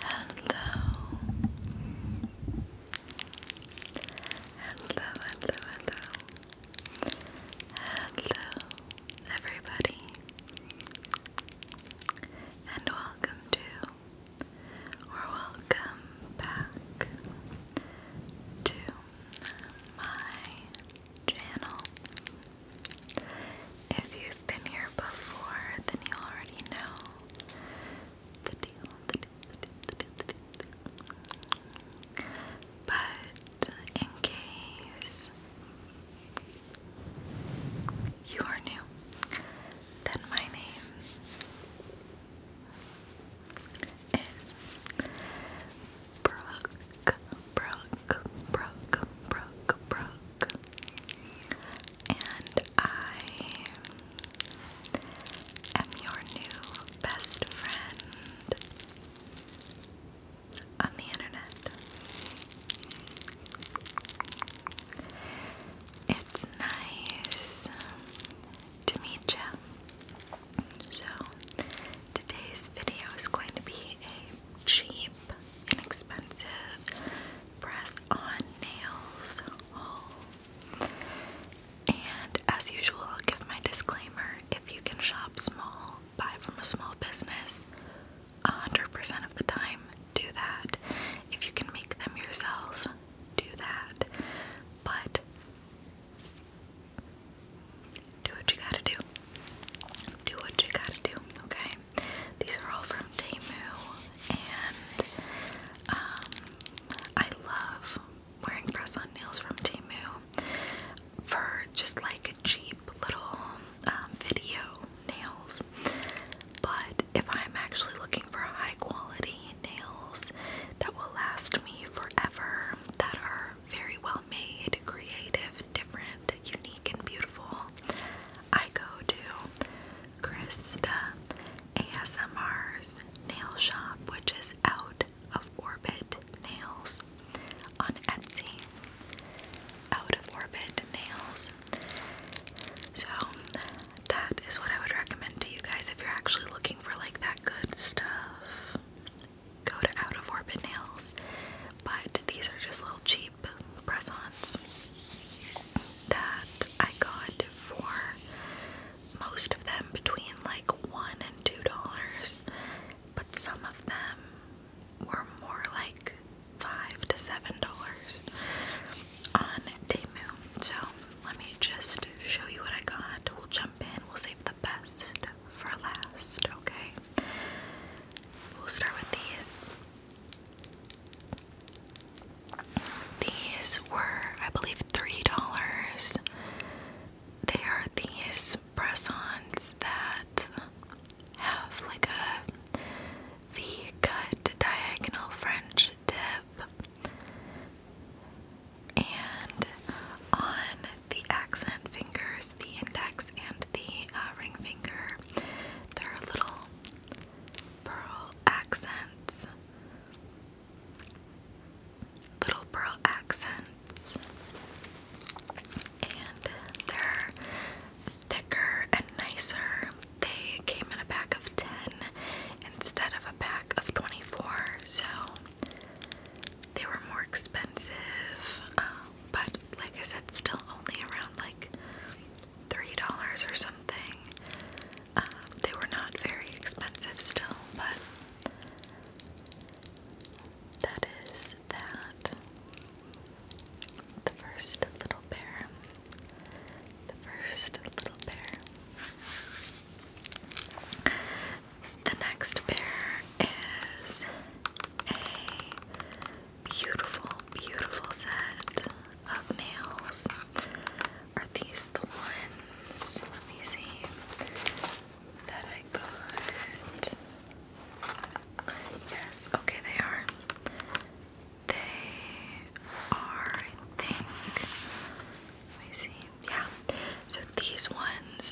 Hello. Hello, hello, hello. Hello, everybody. And welcome to, or welcome back to my channel. If you've been here before, then you already know the deal, But in case you are new, then my name is Brooke Brooke, Brooke, Brooke, Brooke. And I am your new best friend on the internet. It's nice to meet you. So, today's video is going to be a cheap, inexpensive press on nails And as usual, I'll give my disclaimer if you can shop small, buy from a small business, 100% of the time, do that. If you can make them yourself, do that. But do what you gotta do. Do what you gotta do, okay? these are all from Temu, and um, I love wearing press-on nails from Temu for just like cheap little um, video nails. But if I'm actually looking for high-quality nails that will last me forever, that are very well made, creative, different, unique, and beautiful, I go to Krista ASMR's nail shop, which is out of orbit nails on Etsy. Out of orbit nails. So that is what I would recommend to you guys if you're actually looking for like that good stuff. Go to out of orbit nails. But these are just a little cheap press that I got for most of them between like one and two dollars, but some of them were more like five to seven dollars on Temu. So let me just show you what I got. We'll jump in, we'll save the best for last, okay? We'll start with these. These were, I believe, $3. They are these press ons that have like a V cut diagonal French dip. And on the accent fingers, the index and the uh, ring finger. There are little pearl accents. Little pearl accents. And they're thicker and nicer. They came in a pack of 10 instead of a pack of 24, so they were more expensive. Um, but like I said, still only around like three dollars or something. Um, they were not very expensive still, but that is that. The first little bear. The first little bear. The next bear is a beautiful, beautiful set of nails. Are these the ones? Let me see that I got. Yes, okay, they are. They are, I think. Let me see. Yeah. So these ones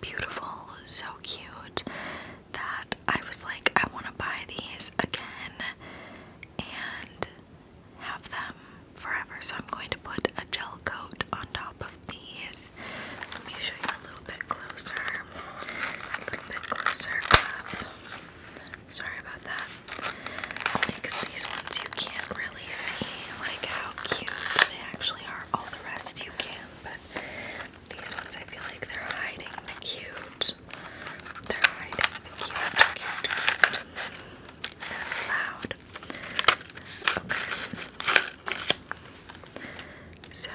beautiful, so cute that I was like, I want to buy these again and have them forever. So I'm going to put a gel coat on top of these. Let me show you a little bit closer. A little bit closer Sorry about that. Because these ones you can't really see like how cute they actually are. All the rest you can, but these ones I feel like they're hiding the cute. They're hiding the cute, That's loud. Okay. So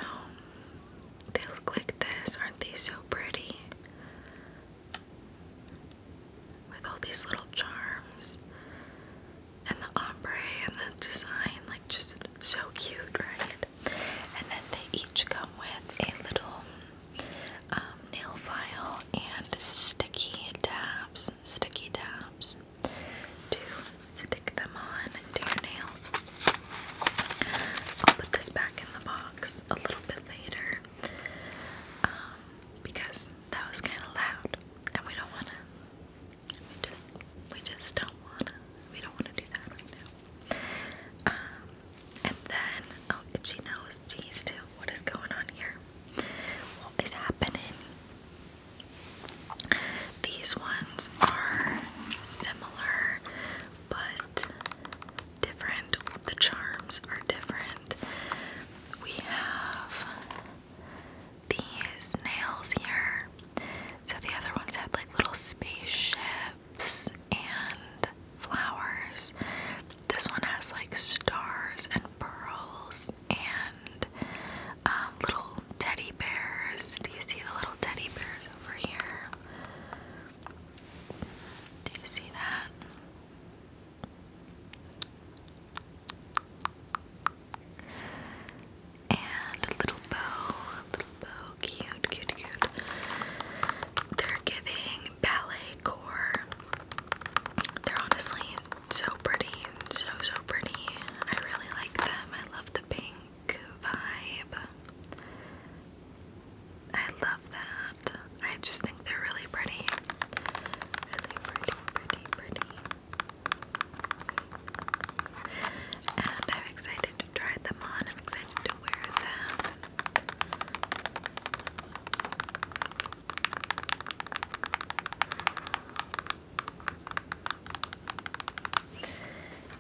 they look like this. Aren't they so pretty? With all these little charms and the ombre and the design, like just so cute, right? And then they each come with a little um, nail file and sticky tabs, sticky tabs to stick them on to your nails. I'll put this back in the box a little bit later um, because that was kind of loud and we don't want to we just, we just don't wanna, we don't wanna do that right now. Um, and then, oh, and she geez, too, what is going on here? What is happening? These ones are similar, but different. The charms are different. We have these nails here. So the other ones had like little spaceships and flowers. This one has like stars and pearls and um, little teddy bears. Do you see the little teddy bears over here? Do you see that? And a little bow, a little bow, cute, cute, cute. They're giving ballet core. They're honestly so pretty, so, so pretty. I really like them. I love the pink vibe. I love that. I just think they're really pretty. Really pretty, pretty, pretty. And I'm excited to try them on. I'm excited to wear them.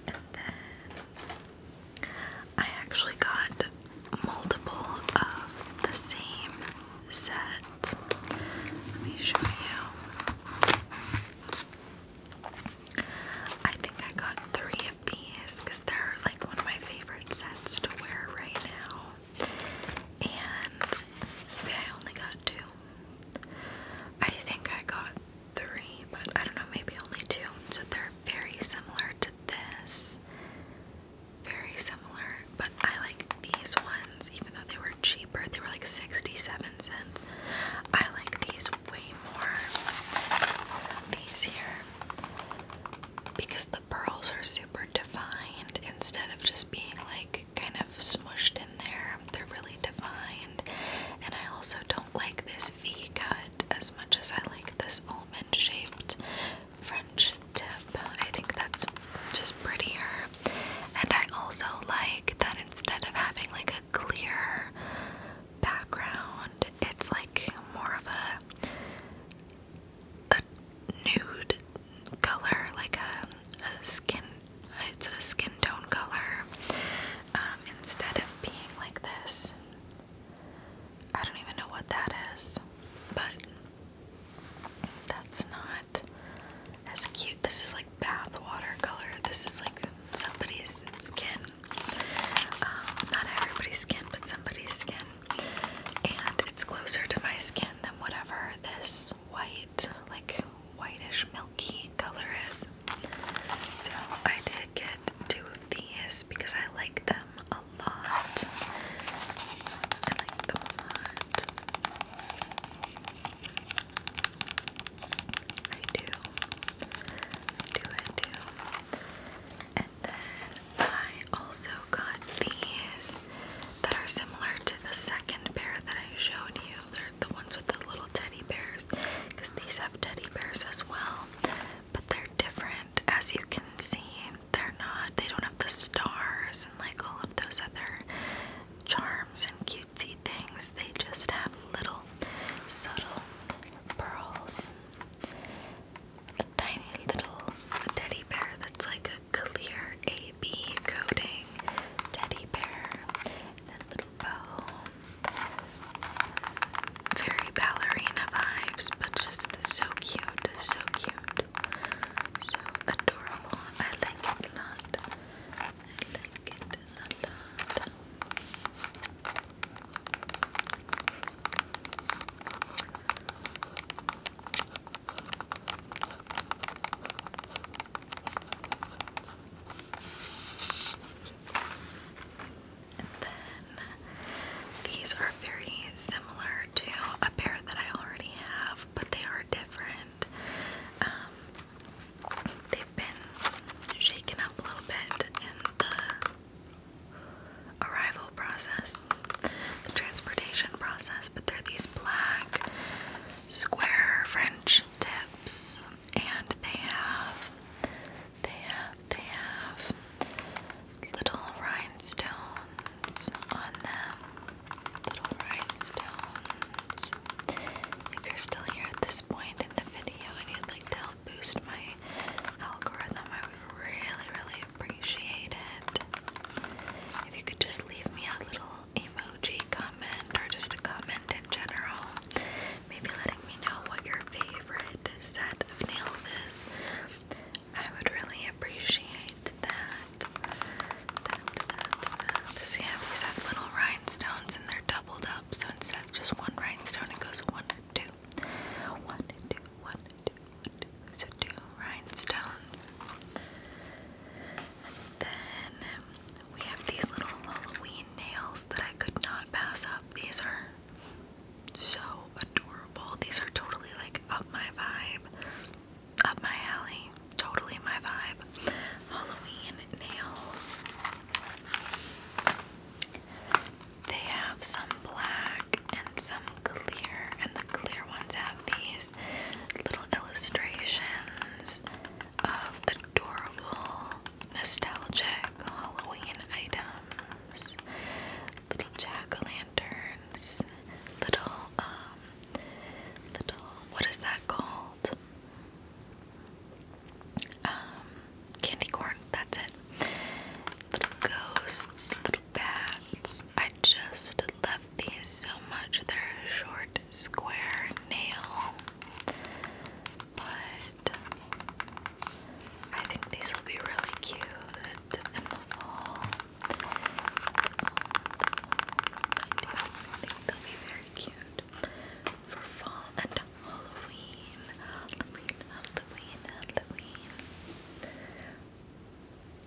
And then I actually got multiple of the same set. Let me show you. I think I got three of these because they're like one of my favorite sets to wear right now. And I only got two. I think I got three, but I don't know, maybe only two. So they're very similar to this. Very similar, but I like these ones, even though they were cheap. They were like 67 cents. I like these way more. These here. Because the pearls are super defined instead of just being like kind of smushed in there. They're really defined. And I also don't like this V cut as much as I like this almond shaped French tip. I think that's just prettier. And I also like that instead of having like a clear background, it's like more of a a nude color, like a, skin it's a skin tone color. Um, instead of being like this. I don't even know what that is, but that's not as cute. This is like bath water This is like somebody's skin. Um, not everybody's skin, but somebody's skin. And it's closer to my skin than whatever this white, like whitish milky color is. So I did get two of these because I like them a lot. I like them a lot. I do. do, I do. And then I also got these that are similar to the second pair that I showed you. They're the ones with the little teddy bears because these have teddy bears as well, but they're different. As you can see, they're not, they don't have the stars and like all of those other charms and cutesy things. They just have little subtle pearls. A tiny little teddy bear that's like a clear AB coating teddy bear. That little bow. Very ballerina vibes, but just so cute, so cute, so adorable. I like it a lot. I like these are very similar to a pair that I already have, but they are different. Um, they've been shaken up a little bit in the arrival process, the transportation process, but they're these black square French tips, and they have, they have, they have little rhinestones on them little rhinestones. If you're still here at this point in the video and you'd like to help boost my algorithm, I would really, really appreciate it. If you could just leave me a little emoji comment or just a comment in general, maybe letting me know what your favorite set of nails is, I would really appreciate that that, that, that, So these little rhinestones and they're doubled up. So instead of just one rhinestone, it goes one, two, one, two, one, two, one, two. So two rhinestones. then we have these little Halloween nails that I could not pass up. These are so adorable. These are totally like up my vibe up my alley. Totally my vibe. Halloween nails. They have some black and some clear, and the clear ones have these little illustrations of adorable, nostalgic Halloween items. Little jack o' lanterns, little um, little what is that called? Um, candy corn, that's it. Little ghosts, little bats. I just love these so much. They're short square nail. But I think these will be really cute in the fall they'll be very cute for fall and Halloween. Halloween, Halloween, Halloween.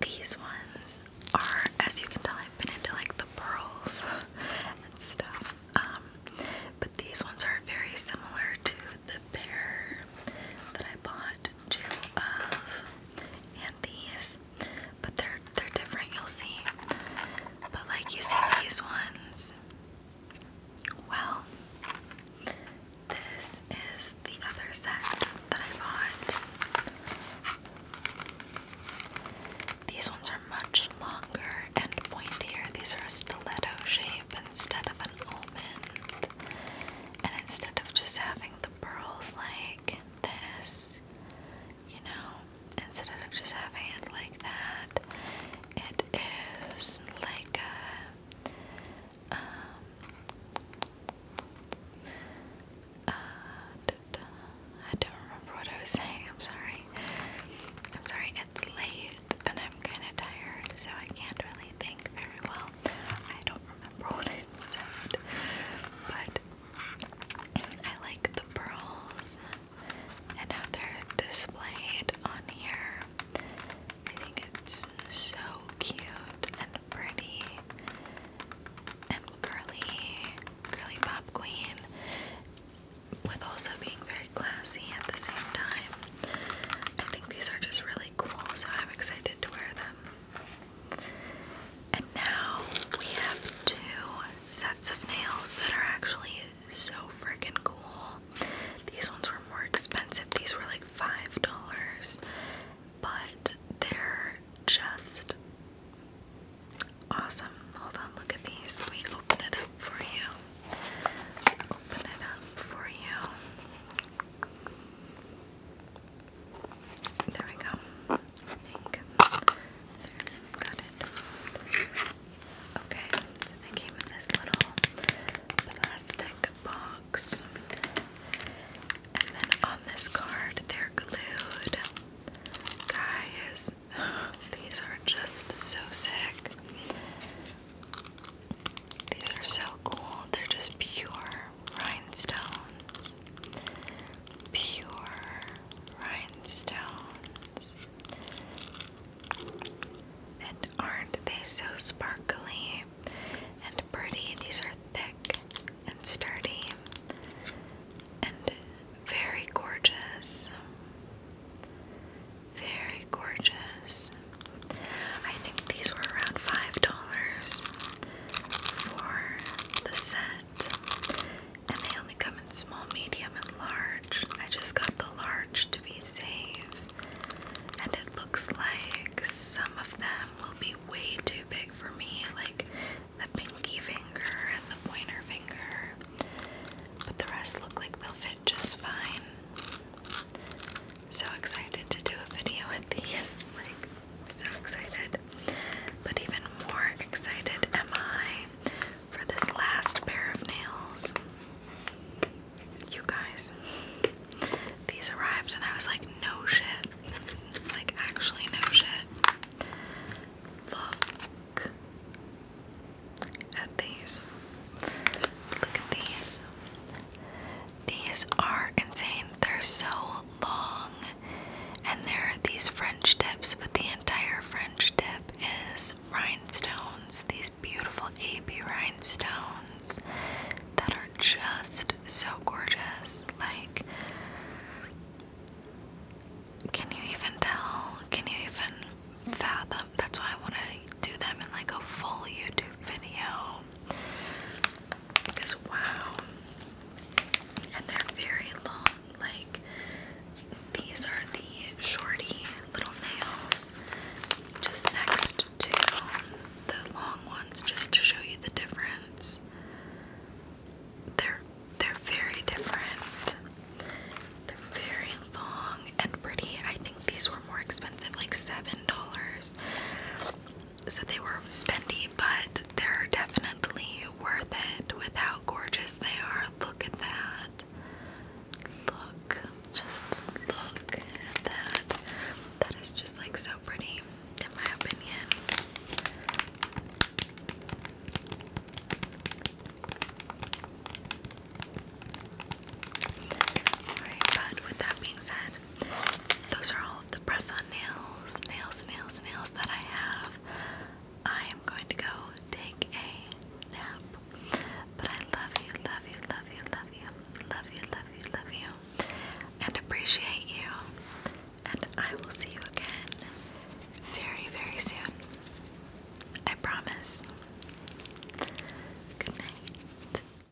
These ones are, as you can tell, I've been into like the pearls and stuff. Um, but these ones are very similar to the pair that I bought two of, and these but they're they're different. You'll see. But like you see these ones. Well, this is the other set that I bought. These ones are much longer and pointier. These are a stiletto shape instead of an almond. And instead of just having the pearls like this, you know, instead of just having it like that, it is like a, um, uh, I don't remember what I was saying, I'm sorry. I'm sorry, it's late and I'm kind of tired, so I can't really think very well I don't remember what it said, but I like the pearls and how they're displayed on here. I think it's so cute and pretty and curly, curly pop queen, with also being very classy at the same time. I think these are just really cool, so I'm excited to wear them. And now we have two sets of nails that are actually so freaking cool. These ones were more expensive, these were like $5, but they're just awesome. Hold on, look at these. Let me open it up for you. Open it up for you. There we go. I think. There. Got it. Okay, they came in this little plastic box. And then on this card, they're glued. Guys, these are just so sick. These are so cool. They're just pure rhinestones pure rhinestones. And aren't they so sparkly and pretty? These are thick and sturdy and very gorgeous. Very gorgeous. I think these were around $5 for the set. And they only come in small, medium, and large. I just got the large to be safe. And it looks like some of them will be way too big for me, like the pinky finger and the pointer finger. But the rest look like they'll fit just fine. So excited to do a video with these. Like so excited. But even more excited am I for this last pair of nails. You guys, these arrived and I was like, no shit. Like, actually, no shit. Look at these. Look at these. These are insane. They're so long. And there are these French tips, but the entire French tip is rhinestones. These beautiful AB rhinestones that are just so gorgeous. Like, can you even tell? Can you even fathom? That's why I want to do them in like a full YouTube video because wow. And they're very long. Like these are the shorty little nails just next to um, the long ones just to show you the difference. They're they're very different. They're very long and pretty. I think these were more expensive, like seven dollars. So they were spendy, but they're definitely worth it with how gorgeous they are. Look at that. Look. Just look at that. That is just like so pretty, in my opinion. but with that being said, those are all the press on nails, nails, nails, nails that I have. I am going to go take a nap. But I love you, love you, love you, love you, love you, love you, love you, and appreciate you. And I will see you again very, very soon. I promise. Good night.